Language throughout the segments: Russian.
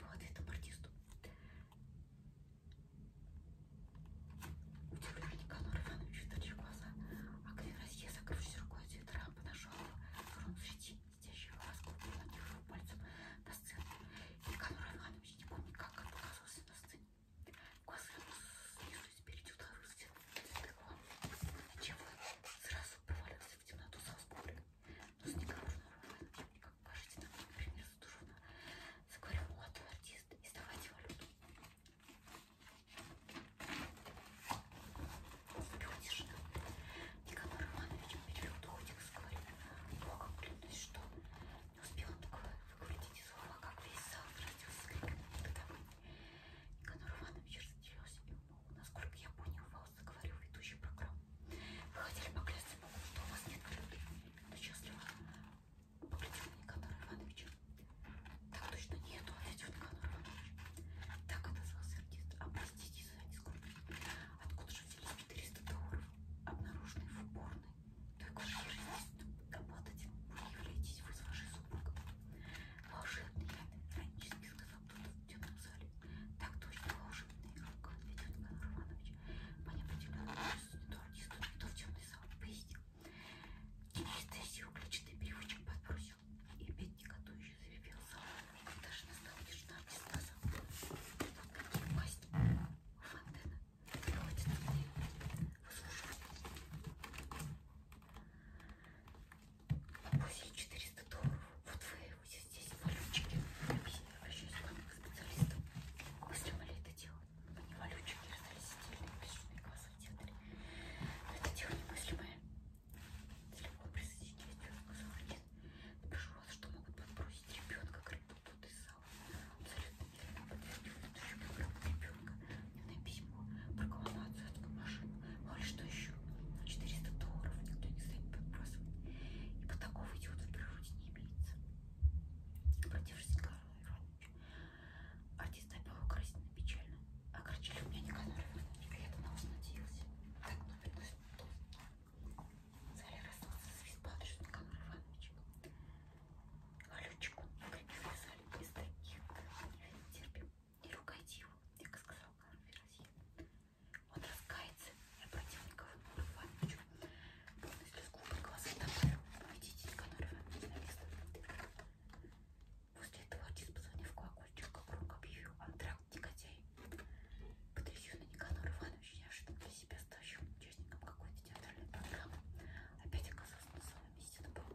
Вот это бортисту. Удивляя Никанор Иванович выточил глаза, а Клевразье, закрывшись рукой цвет рампы, нашел рун в сети, сидящую ласку, приладив его пальцем на сцену. Никанор Иванович не помнит, как он оказался на сцене. Глаза ему снизу и спереди ударил стену. Чего сразу провалился в темноту со взбором. Но с Никанором Ивановичем никак Кажите, там, например, трудно. Заговорил молодой артист. И сдавайте валюту. Наступила тишина. Николай Романович Медведев Духотик заговорил. Богом клянусь, что не успел он только выговорить эти слова, как весь зал разразился криками негодования. Николай Иванович разделился. Насколько я понял, вас заговорил ведущий программы. Выходили поклясться Богу, что у вас нет коллеги. Она счастлива. Поглядел на Никанора Ивановича. Так точно нету, ответил а Никанор Иванович. Так отозвался артист. А простите за нескромность. Откуда же взялись 400 долларов, обнаруженные в уборной? Только в жизни обладателем вы являетесь вы с вашей супругой. Волшебный, иронически сказал кто-то в темном зале. Так точно, волшебный рук, ведет Федор Иванович. По неопределенному часу не то артисту, не то в темный зал, пояснил. Денис сил клетчатый переводчик подбросил. И опять неготующе заревел зал. Ему даже настал тишина, не сказал. Вот какие власти. Фонтена. Хватит мне. Послушай. Пусть 400 долларов. Вот вы его здесь валютчики. Обращаюсь к вам к специалистам. Выстрелили это дело. Они валютчики раздались отдельные тысячные классы в театре. Но это дело немыслимое. Далеко присоединить ребенка нет. Прошу вас, что могут подбросить ребенка к рыбу тут из зала. Абсолютно верно подтвердил ведущий программу ребенка. Дневное письмо, прокламацию от машины. Говорит, что еще? На 400 долларов никто не станет подбрасывать. И по такого идиота в природе не имеется. Обратившись к Карлу Ивановичу, артист напел украсительно печально. Огорчили у меня Николай Иванович, а я-то на вас надеялся. Так ну, напилось, то Зале расстался с виспадочным Николай Иванович. Галючик, крепив вязали, без таких не терпим. Не ругайте его, как сказал Карл Ферасье. Он раскается и обратил Николаю Ивановичу. Полный слезку под глаза добавил. Идите, Николай Иванович, на место. После этого отец позвонил в колокольчик, как громко объявил антракт негодяй. Потрясенный Николай Иванович неожиданно для себя ставшим участником какой-то театральной программы. Опять оказался на своем месте на полу.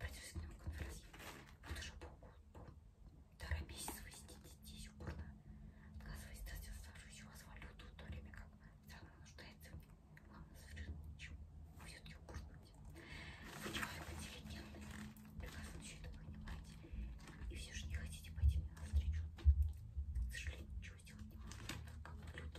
Продюсерная конференция. Вот уже полтора месяца вы сидите здесь упорно, отказываясь дать оставшуюся у вас валюту, в то время как страна нуждается в ней. Вам совершенно ничего. Вы все-таки упорствуете. Вы человек интеллигентный, прекрасно все это понимаете. И все же не хотите пойти мне навстречу. К сожалению, ничего сделать не могу, так как валюта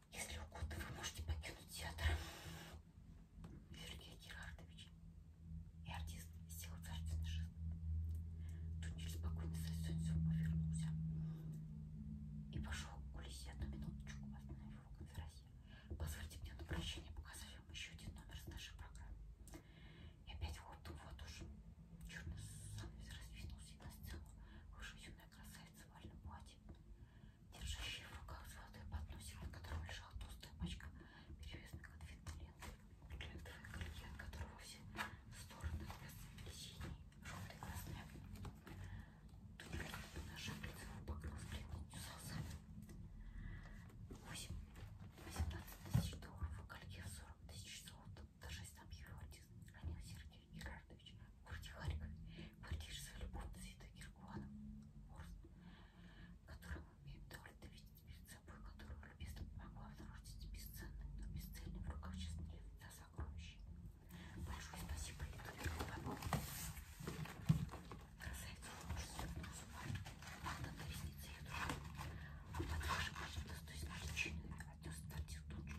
Если угодно, вы можете покинуть театр. Сергей Герардович и артист сделал царственный жест. Тунель спокойно сосунься, повернулся и пошел к кулисе. Одну минуточку остановил в конференции. Позвольте мне на прощание показать вам еще один номер с нашей программы. И опять вот вот уж черный занавес раздвинулся на сцену. Выше юная красавица в вальном платье держащий в руках золотой подносик, на котором лежала толстая пачка перевязанных конфетной ленты, лентовое колье, от которого все стороны расцвели синий, желтый, красный. Тунель по ножам лицевого покрылась бледностью солнцами. 8. 18 тысяч долларов в колье, 40 тысяч золота. Даже сам его отец хранил Сергей. Василий Герардович в городе Харьков, квартире своей любовницы Евдокии которого мы имеем довольно видеть перед собой, которого любезно помогла возродить бесценным, но бесцельным в руках честного лица сокровища. Большое спасибо Евдокии Павловне. Красавица лучше свернула с ума, падала на ресницы ее душа, а под вашим почему-то с той значительной отнес превратил тут же.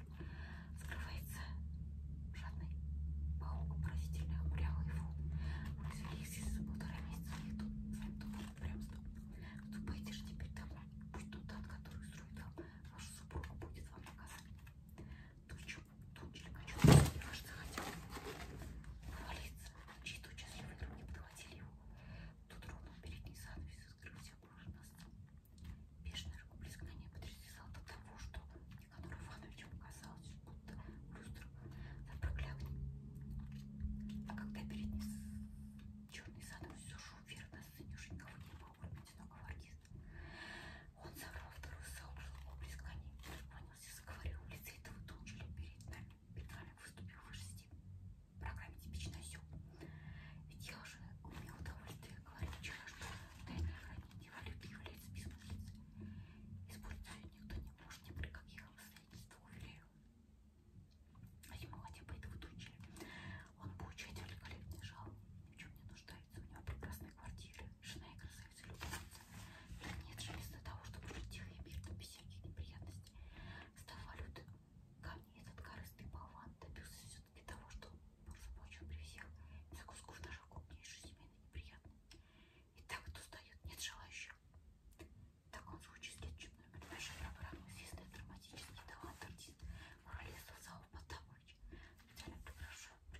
Скрывается жадный паук, поразительно хмурял его. Мы развели их здесь за полтора месяца, и тут своим домом упрямством. Ступайте же теперь домой, пусть тот ад, который строит вам, ваш супруг будет вам наказанием. Тучу, тучелька, чудо, и ваш захотел провалиться. Чьи-то участливые руки подхватили его. Тут ровно передний занавес, и скрылся, боже, настал. Бешеное рукоплескание потрясало до того, что Никанор Ивановичу казалось, будто люстр запроклятый. А когда перед ним черный задом сушил вверх на сцене, уже никого не было, кроме одинокого артиста. Он забрал вторую сообщество рукоплескание, поклонился, заговорил в лице этого тончили перед нами. Петралик выступил выше степени. Программе типично осел. Ведь я уже умел удовольствие говорить вчера, что тайное хранение любви является бессмыслицей. Использовать ее никто не может ни при каких обстоятельствах, уверяю. А ему хотя бы это выучили. Он получает великолепный жалоб, ни в чем не нуждается. У него прекрасная квартира, жена и красавица любовница. И нет желез для того, чтобы жить тихо и мирно, без всяких неприятностей. Стал валюты камни этот корыстый болван добился все все-таки того, что был заплачен при всех. Закусков даже крупнейший семейный неприятный. И так кто сдает, нет желающих. В таком случае следующий номер нашей программы известный драматический талант артист Моралист Зал Потапович. Специально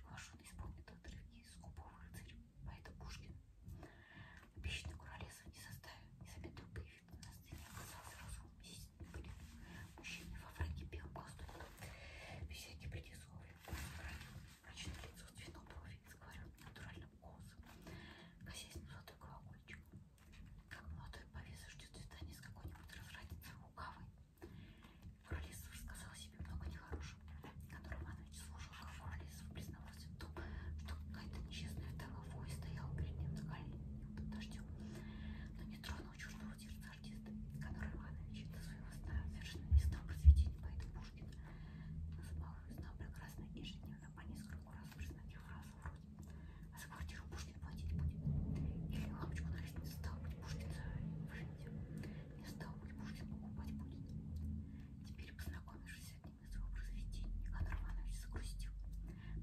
приглашен исполнить отрывки из «Скупого рыцаря» поэта Пушкина. Обещанный Моралист не составил незаметного появился на сцене а оказался разумным Мужчине во враге белым галстуком, беседки предисловия, краю, мрачное лицо с цветом брови и скварем натуральным голосом, косясь на золотой колокольчик. Как молодой повеса ждет свидания с какой-нибудь развратницей лукавой. Королесов рассказал себе много нехорошего, которым Иванович служил, как Королесов признавался в том, что какая-то несчастная вдова вои стояла перед ним за под дождем, но не тронул одного черного сердца артиста Конор Иванович до своего сна совершенно не стал просветить поэта Пушкина. Называл его сна прекрасно ежедневно по нескольку раз признать фразу вроде «А за квартиру Пушкин платить будет?» Или «Лампочку на лестнице стал быть Пушкин за выживете?» «Не стал быть Пушкин покупать будет?» Теперь, познакомившись с одним из его произведений, Конор Иванович загрустил.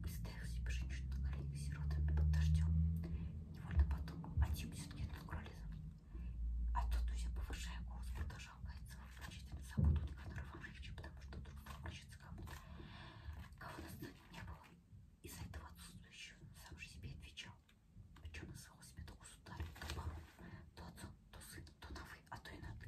Представил себе женщину на коленях сирота под дождем. Невольно подумал, а чем все-таки это алкоголизм? А тут, друзья, повышая голос, продолжал каяться а в прочитании заботу Никанора Ивановича, потому что вдруг включится кому-то, кого на сцене не было. Из-за этого отсутствующего сам же себе отвечал. Причем называл себя то государем, то бароном, то отцом, то сыном, то на вы, а то и на ты.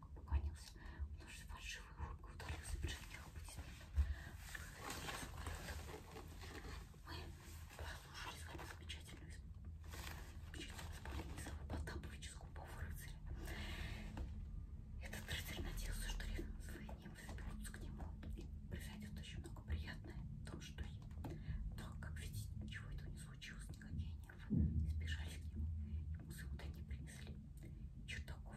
поклонился. Он уже фальшивой улыбкой удалился, прижимал аплодисментом. Мы послушали эту замечательную исполнение Савы Потаповича «Скупого рыцаря». Этот рыцарь надеялся, что рядом свои немцы соберутся к нему и произойдет очень много приятное в том, что так, как видите, ничего этого не случилось, никакие нервы не сбежали к нему, ему сюда не принесли. Чертаков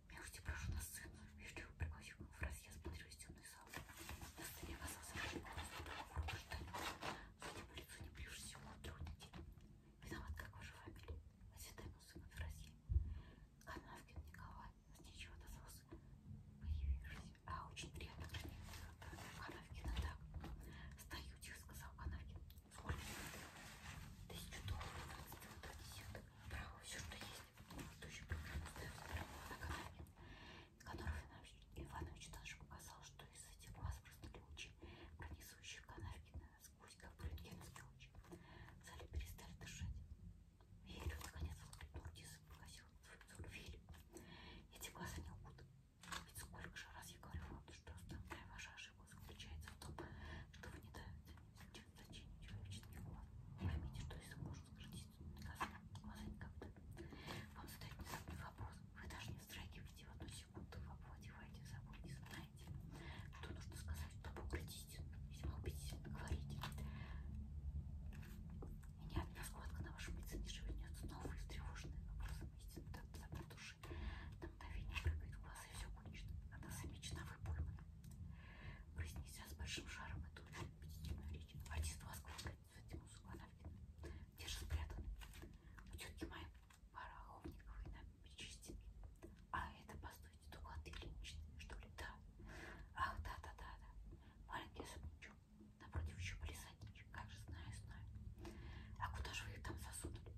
Я уйти прошу на сцену. Вежливо пригласив его в раз. Я смотрю из темной залы. На сцене оказался голос другого рода штанина. Судя по лицу, не ближе всего от трех недель. Виноват, как ваша фамилия? Осведомил сына Фразье. Канавкин Николай. Снечего отозвался появившись. А, очень приятно, Канавкин, так. Стою, тихо сказал Канавкин. Сколько? Тысячу долларов, двадцать два десятых убрала все, что есть. Предыдущую программу ставил забрала на канале. Коноров Иванович даже показал, что из этих глаз простыли лучи, пронесущие канавки насквозь, как рентгеновские лучи. В зале перестали дышать. Верю, наконец, воскликнул Дис, погасил свою верю. Эти глаза не лгут. Ведь сколько же раз я говорила вам, что самая ваша ошибка фишка заключается в том, что вы не даете зачинить человеческий глаз. Поймите, что если может сократиться наказание, глаза никогда. Вам задают внезапный вопрос. Вы даже не вздрагиваете в одну секунду, вы овладеваете собой и знаете, что нужно сказать, чтобы укротить, весьма убедительно говорите. И ни одна складка на вашем лице не шевельнется, но вы встревожены вопросом истины, так запретушены души. До мгновения прыгает глаз, и все кончено. Она замечена выпоймана. Вознеся с большим шаром эту убедительную речь, артист воскликает цветы музыку Анавкина. Где же спрятаны? У тетки моей пара охотников и нам причистили. А это, постойте, доклады клиничные, что ли? Да. Ах, да-да-да-да. Маленький особнячок. Напротив еще полисадничек. Как же знаю, знаю. А куда же вы их там засунули?